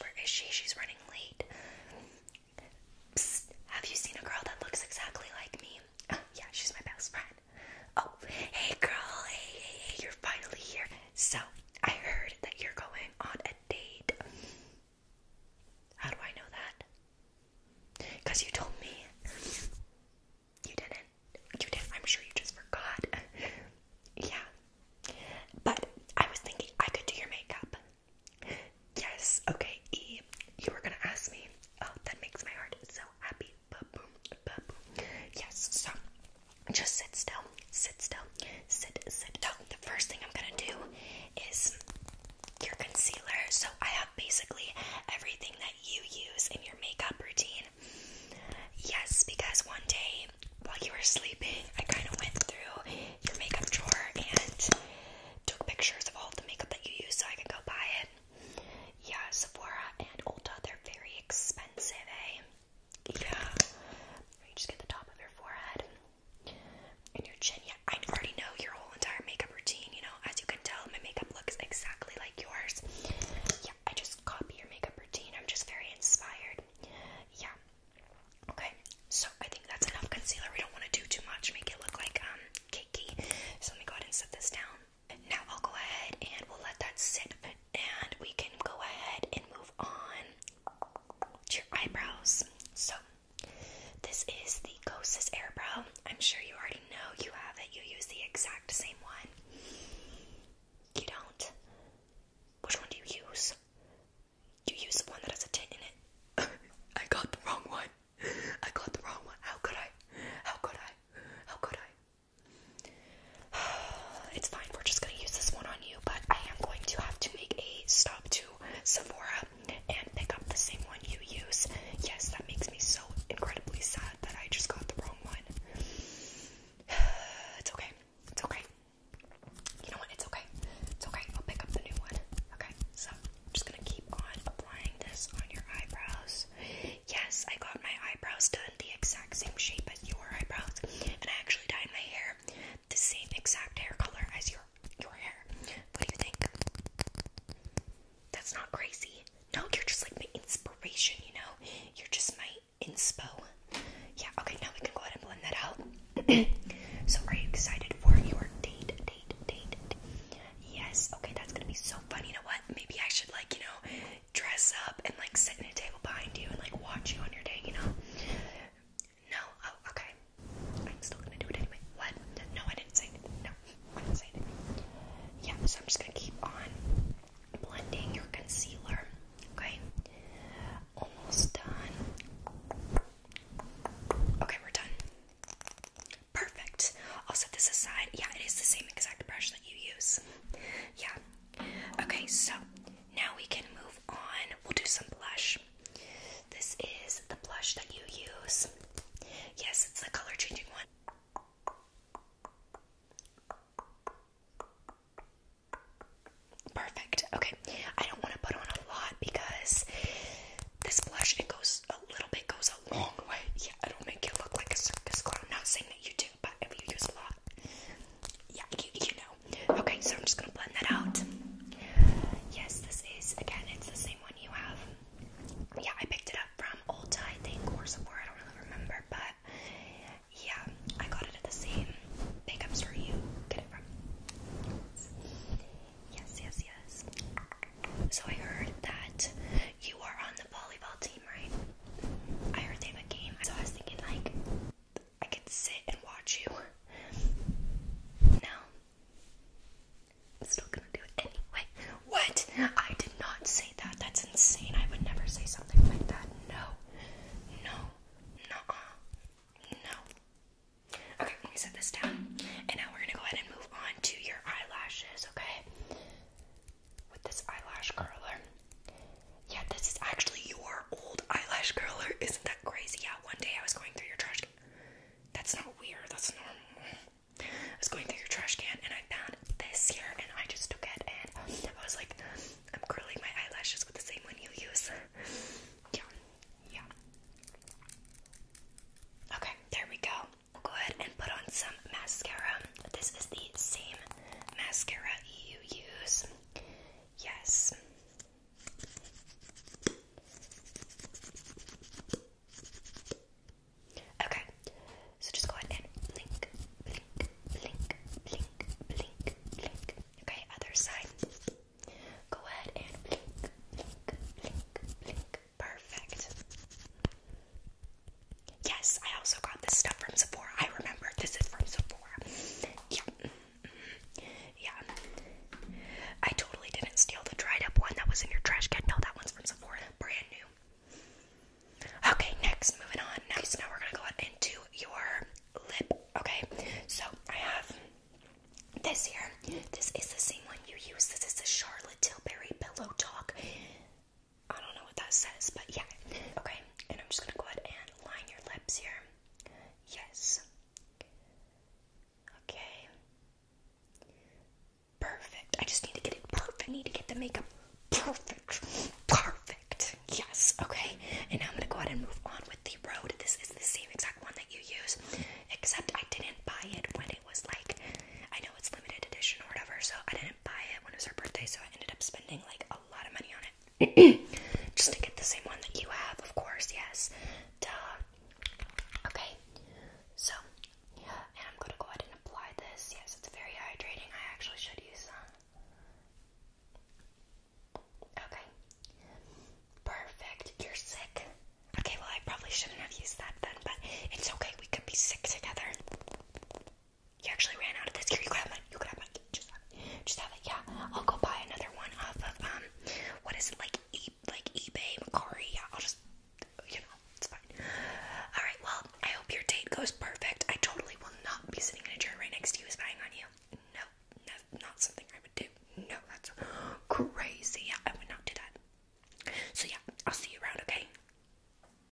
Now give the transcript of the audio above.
where is she? She's running late. have you seen a girl that looks exactly like me? Oh, yeah, she's my best friend. Oh, hey girl, hey, hey, hey, you're finally here. So, I heard that you're going on a date. How do I know that? Because you told me. You didn't. You did I'm sure you just forgot. yeah, but I was thinking I could do your makeup. Yes, okay, E, you were gonna ask me. Oh, that makes my heart so happy. Yes, so just sit still, sit still, sit, sit. So the first thing I'm gonna do is your concealer. So I have basically everything that you use in your makeup routine Yes, because one day while you were sleeping, I kind of went through your makeup drawer and took pictures of all the makeup that you use so I can go buy it. Yeah, Sephora and Ulta, they're very expensive, eh? Yeah. You just get the top of your forehead and your chin. Yeah, I already know your whole entire makeup routine, you know. As you can tell, my makeup looks exactly like yours. I just copy your makeup routine. I'm just very inspired. Yeah. Okay, so I think that's enough concealer. We don't want to do too much, make it look like um cakey. So let me go ahead and set this down. Now I'll go ahead and we'll let that sit, and we can go ahead and move on to your eyebrows. So this is the Kosas Airbrow. I'm sure you already know you have it. You use the exact same one. You don't? Which one do you use? You use the one that has a tin in it. I got the wrong one. I got the wrong one. How could I? How could I? How could I? it's fine. We're just going to use this one on you, but I am going to have to make a stop to Sephora and pick up the same one you use. Yes, that makes me so incredibly sad that I just got the wrong It's okay. It's okay. You know what? It's okay. It's okay. I'll pick up the new one. Okay, I'm just gonna keep on applying this on your eyebrows. Yes, I got my eyebrows done the exact same shape as your eyebrows, and I actually dyed my hair the same exact hair color as your your hair. What do you think? That's not crazy. No, you're just like my inspiration, you know? You're just my inspo. Yeah, okay, now we can go ahead and blend that out. so, are you excited for your date, date, date, date? Yes, okay, that's gonna be so fun. You know what? Maybe I should, like, you know, dress up and, like, sit in a table behind you and, like, watch you on your date. you know? No, oh, okay. I'm still gonna do it anyway. What? No, I didn't say it. No. Yeah, so I'm just gonna keep on blending your concealer. Okay, almost done. Okay, we're done. Perfect. I'll set this aside. Yeah, it is the same exact brush that you use. Yeah. Okay, so now we can move on. We'll do some blush. This is the blush that you use. Yes, it's the color changing one. Perfect. Okay. I don't want to put on a lot because this blush it goes a little bit goes a long way. Yeah, it'll make you look like a circus clown. not saying that you do, but if you use a lot, yeah, you know. Okay, so I'm just gonna blend that out. Yes, this is again it's the same one you have yeah, I picked it up from Ulta, I think, or somewhere, I don't really remember, but yeah, I got it at the same makeup store you get it from. Yes, yes, yes. So I heard that you are on the volleyball team, right? I heard they have a game, so I was thinking, like, I could sit and watch you. No? i still gonna do it anyway. What? I did not say that. That's insane. I would never say something like that. No. No. Nuh No. Okay, let me set this down. And now we're gonna go ahead and move on to your eyelashes, okay? With this eyelash curler. Yeah, this is actually your old eyelash curler. Isn't that crazy? Yeah, one day I was going through your trash that's not weird, that's normal. I was going through your trash can and I found this here and I just took it and I was like, I'm curling my eyelashes with the same one you use. yeah, yeah. Okay, there we go. We'll go ahead and put on some mascara. This is the same mascara you use. Yes. Okay, so just go ahead and blink, blink, blink, blink, blink, blink. Okay, other side. Go ahead and blink, blink, blink, blink. Perfect. Yes, I also got this stuff from Sephora. I remember this is from Sephora yeah. I totally didn't steal the dried up one that was in your trash can. No, that one's from Sephora. Brand new. Okay, next, moving on. Next, now we're going to go into your lip. Okay, so I have this here. This is the same one you use. This is the Charlotte Tilbury Pillow Talk. I don't know what that says, but yeah. Okay, and I'm just going to go ahead and line your lips here. Yes. Okay. Perfect. I just need to get it perfect. I need to get the makeup perfect. Perfect. Yes. Okay. And now I'm going to go ahead and move on with the road. This is the same exact one that you use, except I didn't buy it when it was like, I know it's limited edition or whatever, so I didn't buy it when it was her birthday, so I ended up spending like a lot of money on it. Just to get the same one that you have, of course, yes. Duh. Okay, so, and I'm going to go ahead and apply this. Yes, it's very hydrating. I actually should use some. Okay. Perfect. You're sick. Okay, well, I probably shouldn't have used that then, but it's okay. We could be sick together. You actually ran out of this. you can have You can have Just have it. Just have it. Yeah, I'll go buy another one off of um, what is it like? like eBay, Macari. Yeah, I'll just, you know, it's fine. All right. Well, I hope your date goes perfect. I totally will not be sitting in a chair right next to you, spying on you. No, no, not something I would do. No, that's crazy. Yeah, I would not do that. So yeah, I'll see you around. Okay.